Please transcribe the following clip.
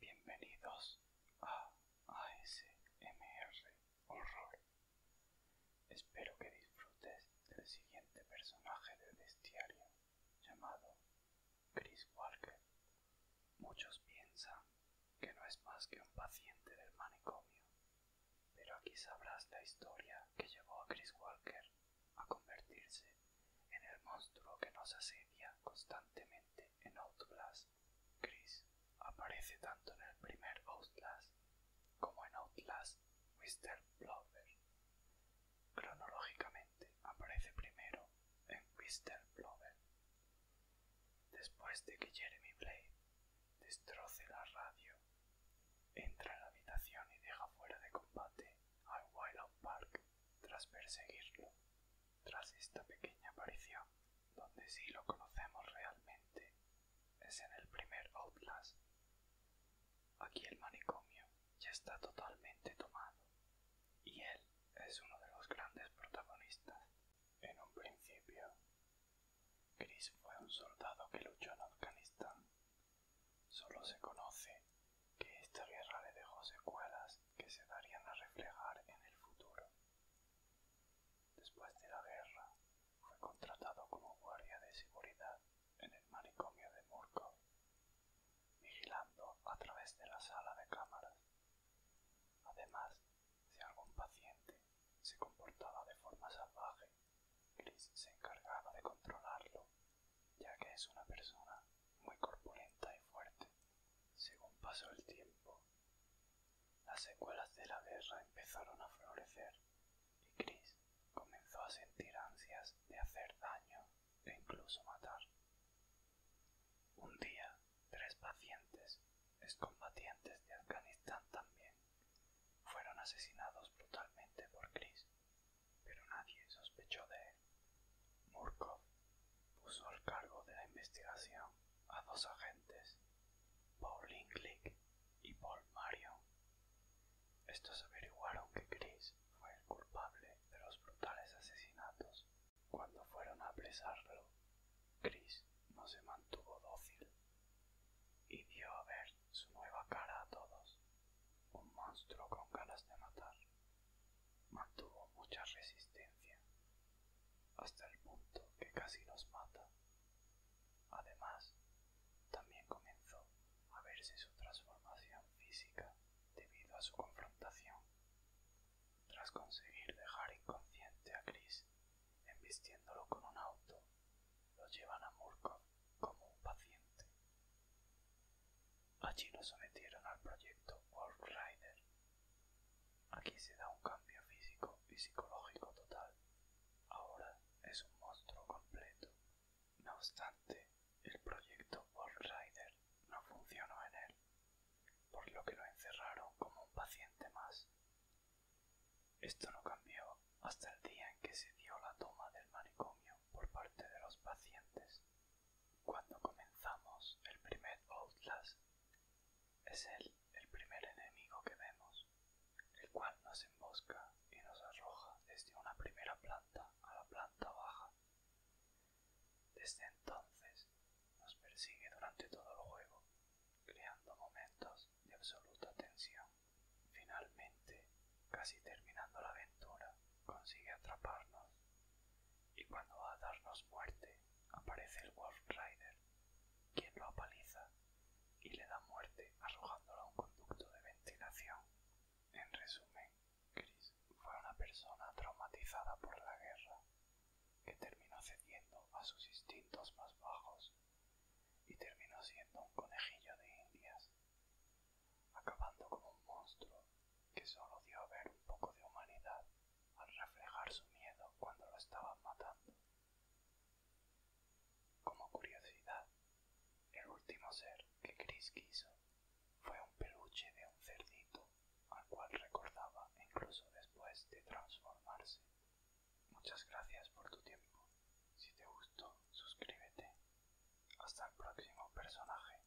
Bienvenidos a ASMR Horror. Espero que disfrutes del siguiente personaje del bestiario llamado Chris Walker. Muchos piensan que no es más que un paciente del manicomio. Pero aquí sabrás la historia que llevó a Chris Walker a convertirse en el monstruo que nos asedia constantemente en Outlast. Chris aparece tanto en el primer Outlast como en Outlast Mr. Blover. Cronológicamente aparece primero en Mr. Blover, Después de que Jeremy Blake destroce la radio, entra en la habitación y deja fuera de combate a Wild Park tras perseguirlo. Tras esta pequeña aparición, donde sí lo conocemos realmente, es en el primer Outlast. Aquí el manicomio ya está totalmente tomado y él es uno de los grandes protagonistas. En un principio, Chris fue un soldado que luchó en Afganistán. Solo se conoce que esta guerra le dejó secuelas que se darían a reflejar en el futuro. Después de la guerra, fue contratado como guardia de seguridad en el manicomio de Murkov vigilando a través de la sala de cámaras. Además, si algún paciente se comportaba de forma salvaje, Chris se encargaba de controlarlo, ya que es una persona muy corpulenta y fuerte. Según pasó el tiempo, las secuelas de la guerra empezaron a florecer y Chris comenzó a sentir ansias de hacer daño e incluso matar. Un día, tres pacientes, excombatientes de Afganistán también, fueron asesinados brutalmente por Chris, pero nadie sospechó de él. Murkov puso al cargo de la investigación a dos agentes, Paul Linklick y Paul Marion, estos averiguaron que Chris fue el culpable de los brutales asesinatos. Cuando fueron a apresarlo, Chris no se mantuvo dócil y dio a ver su nueva cara a todos, un monstruo con ganas de matar. Mantuvo mucha resistencia hasta el punto que casi los mata. Además, también comenzó a verse su transformación física debido a su confrontación. Tras conseguir dejar inconsciente a Chris, embistiéndolo con un auto, lo llevan a Murco como un paciente. Allí lo sometieron al proyecto World Rider. Aquí se da un cambio físico y psicológico total Ahora es un monstruo completo. No obstante, el proyecto Wall Rider no funcionó en él, por lo que lo encerraron como un paciente más. Esto no cambió hasta el día en que se dio la toma del manicomio por parte de los pacientes. Cuando comenzamos el primer Outlast, es él el primer enemigo que vemos, el cual nos embosca y nos arroja desde una primera planta a la planta baja. Desde entonces nos persigue durante todo el juego, creando momentos de absoluta tensión. Finalmente, casi terminando la aventura, consigue atraparnos y cuando va a darnos muerte aparece el Wolf Rider, quien lo apaliza y le da muerte arrojándolo a un conducto de ventilación. En resumen, Chris fue una persona traumatizada por la guerra, que terminó cediendo a sus instintos más bajos y terminó siendo un conejillo de indias, acabando como un monstruo que solo dio a ver un poco de humanidad al reflejar su miedo cuando lo estaban matando. Como curiosidad, el último ser que Chris quiso fue un peluche de un cerdito al cual recordaba incluso después de transformarse. Muchas gracias por tu tiempo. Si te gustó, suscríbete. Hasta el próximo personaje.